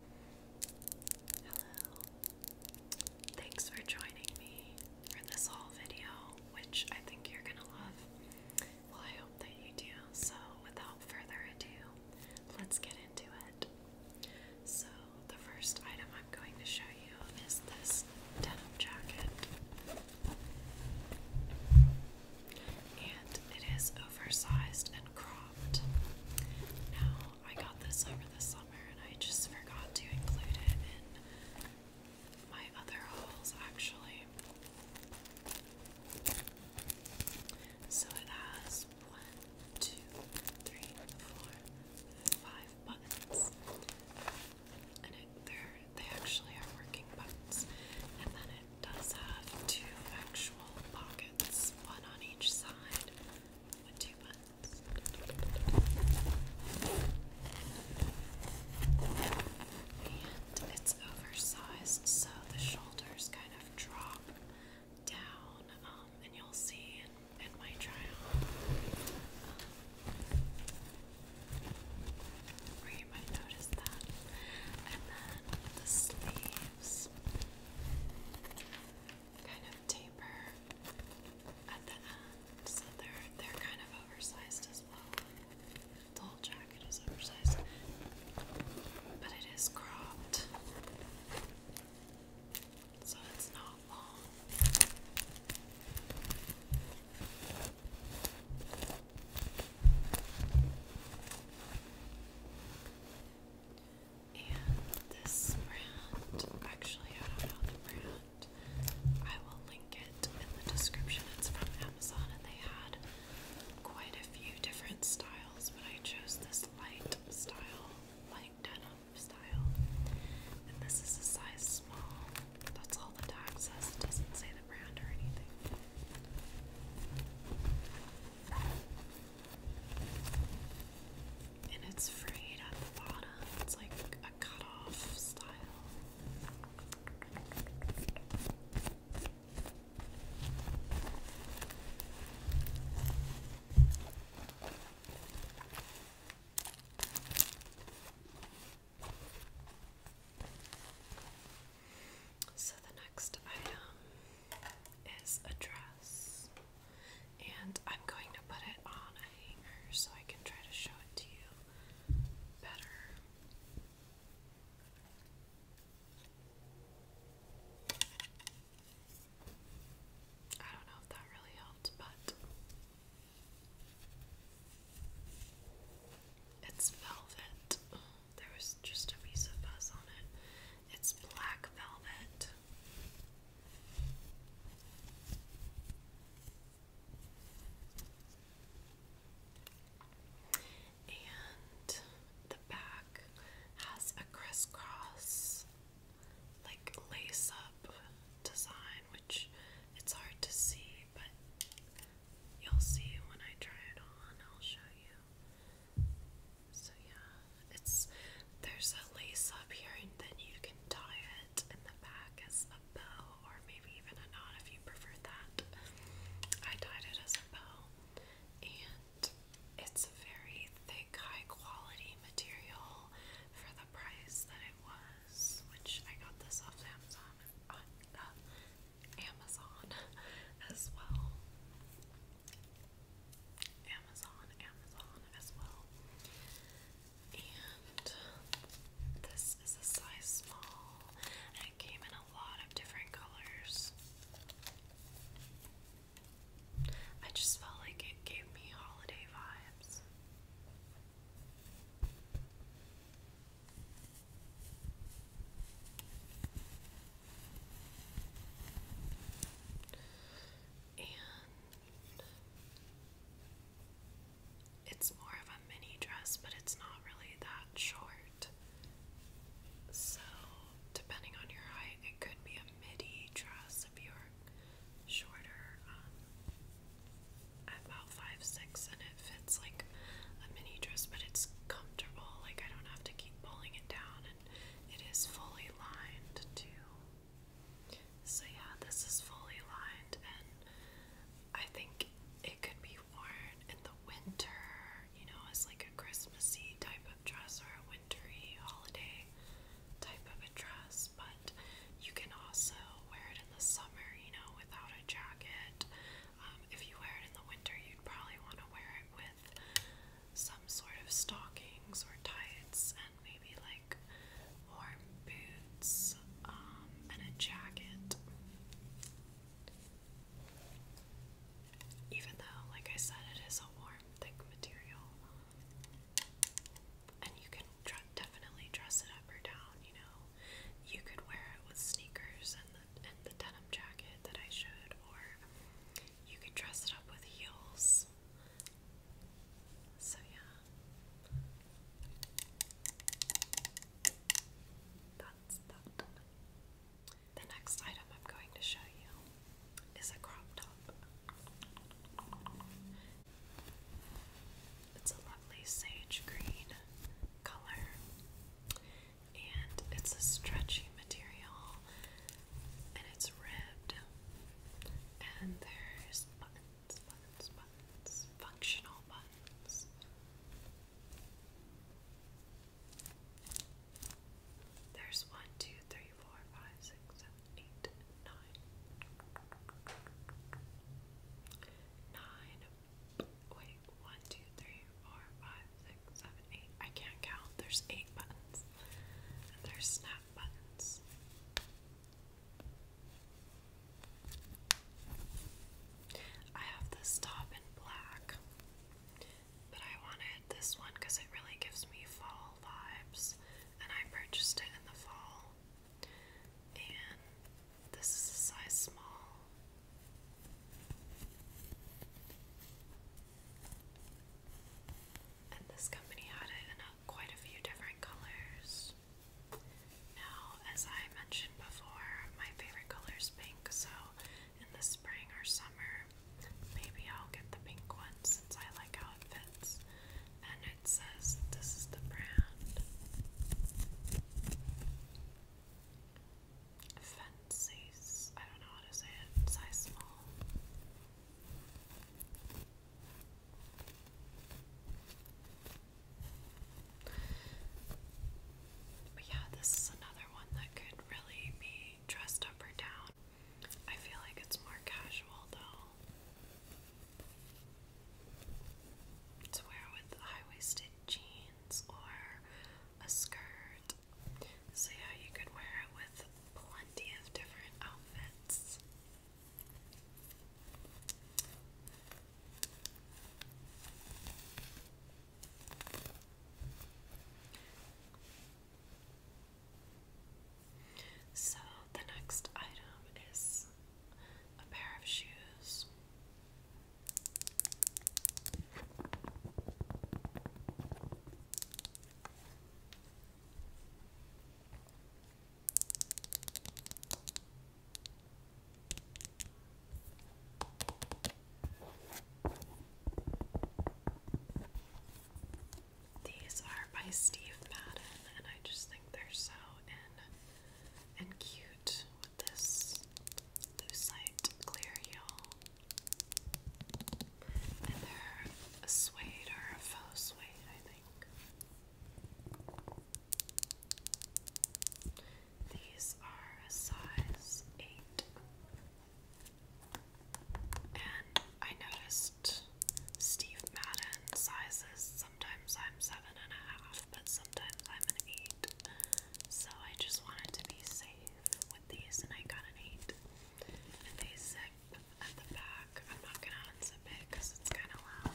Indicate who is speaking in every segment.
Speaker 1: Hello. Thanks for joining me for this haul video, which I think you're going to love. Well, I hope that you do. So, without further ado, let's get into it. So, the first item I'm going to show you is this denim jacket. And it is oversized and cropped soft. Now, I got this over the summer and I just forgot to include it in my other hauls actually. So it has one, two, three, four, five buttons. And it, they're, they actually are working buttons. And then does have two actual pockets, one on each side, with two buttons. And it's oversized, so the shoulders kind of drop down, um, and you'll see in, in my try on. Um, you might notice that. And then the sleeves kind of taper at the end, so they're they're kind of oversized as well. The whole jacket is oversized, but it is cropped, so it's not long. And this brand, actually, I don't know the brand. I will link it in the description. It's from Amazon, and they had quite a few different styles, but I chose this light style, light denim style. And this is a size small. That's all the tag says. It doesn't say the brand or anything. And it's frayed at the bottom. It's like a cutoff style. So the next item is a dress, and I'm going to put it on a hanger so I can try to show it to you better. I don't know if that really helped, but it's velvet. There was just a piece of fuzz on it. It's black velvet. And the back has a crisscross, like lace up design, which it's hard to see, but You'll see when I try it on, I'll show you. So yeah, it's there's a lace up here and then you can tie it in the back as a bow or maybe even a knot if you prefer that. I tied it as a bow and it's very thick, high quality material for the price that it was, which I got this off Amazon on uh, Amazon as well. Amazon, Amazon as well. And this is a size small, and it came in a lot of different colors. I just felt like it gave me holiday vibes it's more of a mini dress, but it's not really that short. So, depending on your height, it could be a midi dress if you're shorter. Um, about five six, and it fits like a mini dress, but it's comfortable. Like I don't have to keep pulling it down, and it is fully lined too. So yeah, this is fully lined, and I think it could be worn in the winter. You know, as like a Christmassy type of dress or a wintry holiday type of a dress, but you can also wear it in the summer, you know, without a jacket. Um, if you wear it in the winter, you'd probably want to wear it with some sort of stockings or tights and maybe like warm boots um, and a jacket. Even though, like I said, it is a warm, thick material. And you can definitely dress it up or down, you know. You could wear it with sneakers and and the denim jacket that I showed, or you could dress it up with heels. So, yeah. That's that. The next item I'm going to show you is a crop top. It's a lovely sage green color and it's a stretchy material and it's ribbed and there's buttons, buttons, buttons, functional buttons. There's one, two, three, four, five, six, seven, eight, nine nine. Wait, one, two, three, four, five, six, seven, eight. I can't count. There's eight buttons. And there's snap buttons. I have this top in black, but I wanted this one because it really gives me fall vibes, and I purchased it in the fall and this is a size small. And this company had it in quite a few different colors. Now, as I mentioned before, my favorite color is pink, so in the spring or summer, maybe I'll get the pink one since I like how it fits it this is the brand. Fancy, I don't know how to say it, size small. But yeah, this is another one that could really be dressed up or down. I feel like it's more casual though to wear with high-waisted jeans or a skirt. So yeah, you could wear it with plenty of different outfits. So the next item is a pair of shoes. These are by Steve Madden, and I just think they're so in and cute with this lucite clear heel. And they're a suede or a faux suede, I think. These are a size 8. And I noticed Steve Madden sizes. Sometimes I'm seven and a half, but sometimes I'm an eight. So I just wanted to be safe with these, and I got an eight. And they sit at the back. I'm not gonna unzip it because it's kind of loud.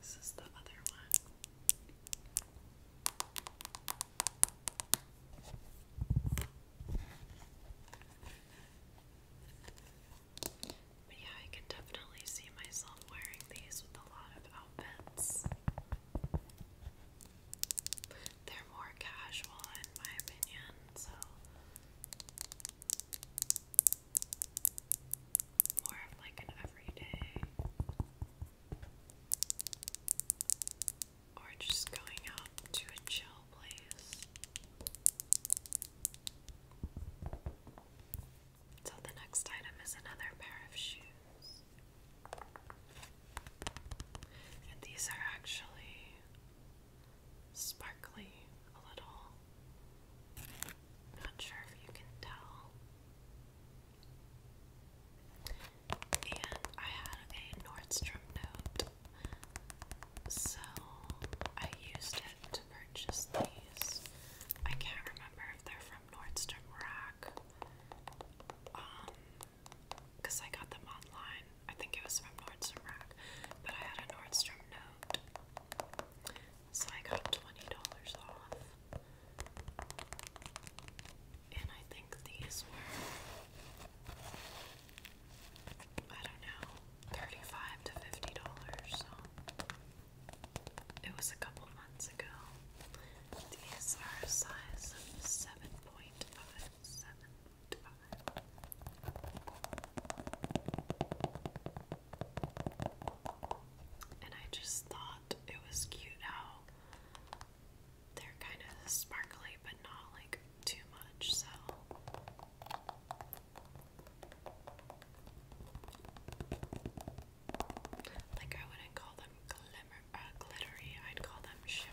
Speaker 1: This is the other one. But yeah, I can definitely see myself wearing these with a lot of outfits. They're more casual, in my opinion, so more of like an everyday or just going out to a chill place. So the next item is another pair of shoes. And these are actually sparkly a little. Not sure if you can tell. And I had a Nordstrom note, so I used it to purchase these. I can't remember if they're from Nordstrom Rack, um, because I got them online. I think it was from Nordstrom Rack, but I had a Nordstrom note, so I got $20 off. And I think these were, I don't know, thirty-five to fifty dollars. So it was a couple months ago. These are a seven point five seven five. And I just thought it was cute how they're kind of sparkly but not like too much, so like I wouldn't call them glimmer uh, glittery, I'd call them shimmery.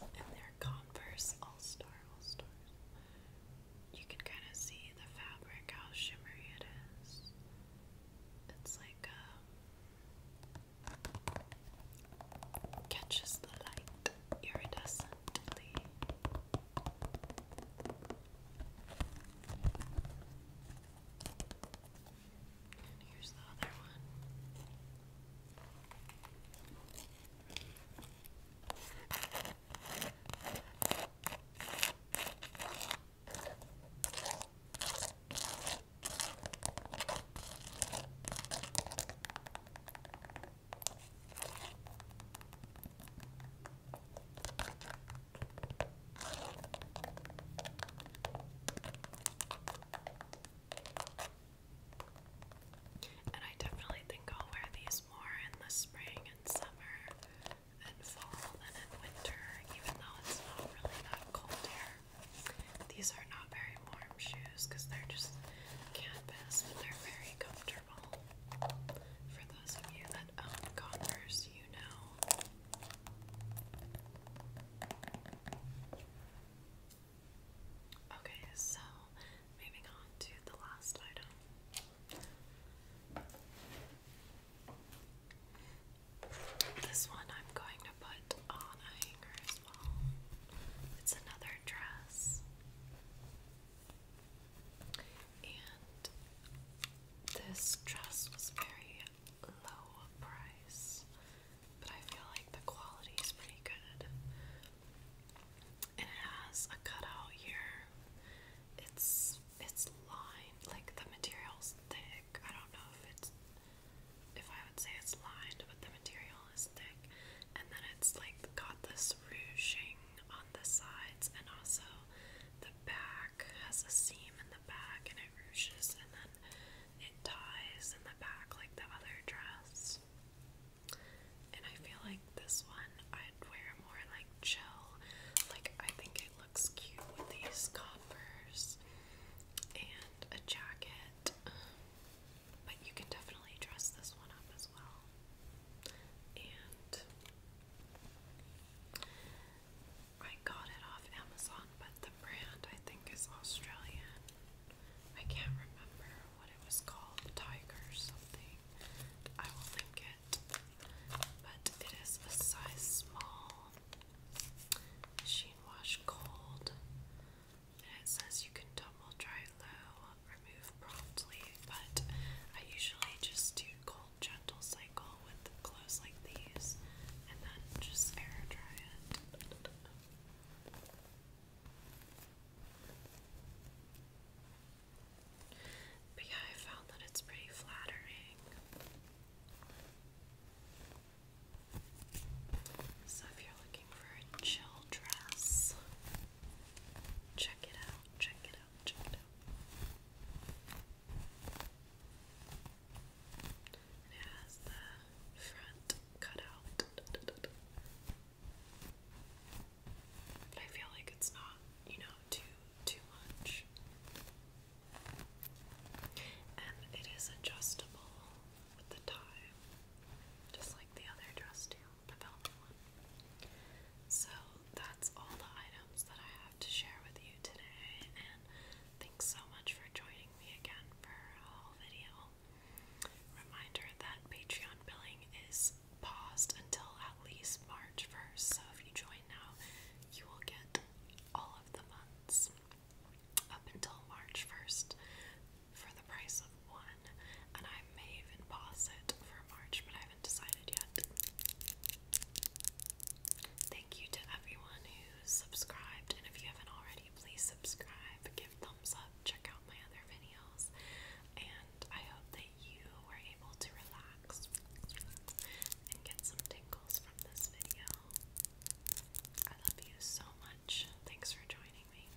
Speaker 1: And they Converse All Stars. You can kind of see the fabric, how shimmery it is. It's like um, catches the light iridescently. And here's the other one. Okay. And I definitely think I'll wear these more in the spring and summer and fall than in winter, even though it's not really that cold here. These are not very warm shoes because they're just canvas, but they're very comfortable. For those of you that own um, Converse, you know Okay, so moving on to the last item. This one I'm going to put on a hanger as well. It's another dress. And this dress was very low price, but I feel like the quality is pretty good. And it has a cutout here. It's it's lined, like the material's thick. I don't know if it's if I would say it's lined, but the material is thick. And then it's like got this ruching on the sides and also the back has a seam in the back and it ruches and then it ties in the back like the other dress. And I feel like this one I'd wear more like chill. Like I think it looks cute with these converse and a jacket. But you can definitely dress this one up as well and I got it off Amazon, but the brand I think is Australian. I can't remember what it was called, Tiger something. I will link it. But it is a size small Sheen Wash Cold. And it says you can tumble dry low remove promptly, but I usually just do cold gentle cycle with clothes like these and then just air dry it. But I found that it's pretty flattering. So if you're looking for a chill dress, check it out. Check it it has the front cut I feel like it's not, you know, too too much. And it is adjustable with the tie. Just like the other dress do the So that's all the items that I have to share with you today, and thanks so much for joining me again for a whole video. Reminder that Patreon billing is paused until at least March 1st, so if you join now, you will get all of the months up until March 1st for the price of one, and I may even pause it for March, but I haven't decided yet. Thank you to everyone who subscribed, and if you haven't already, please subscribe, give thumbs up, check out my other videos, and I hope that you were able to relax and get some tingles from this video. I love you so much. Thanks for joining me.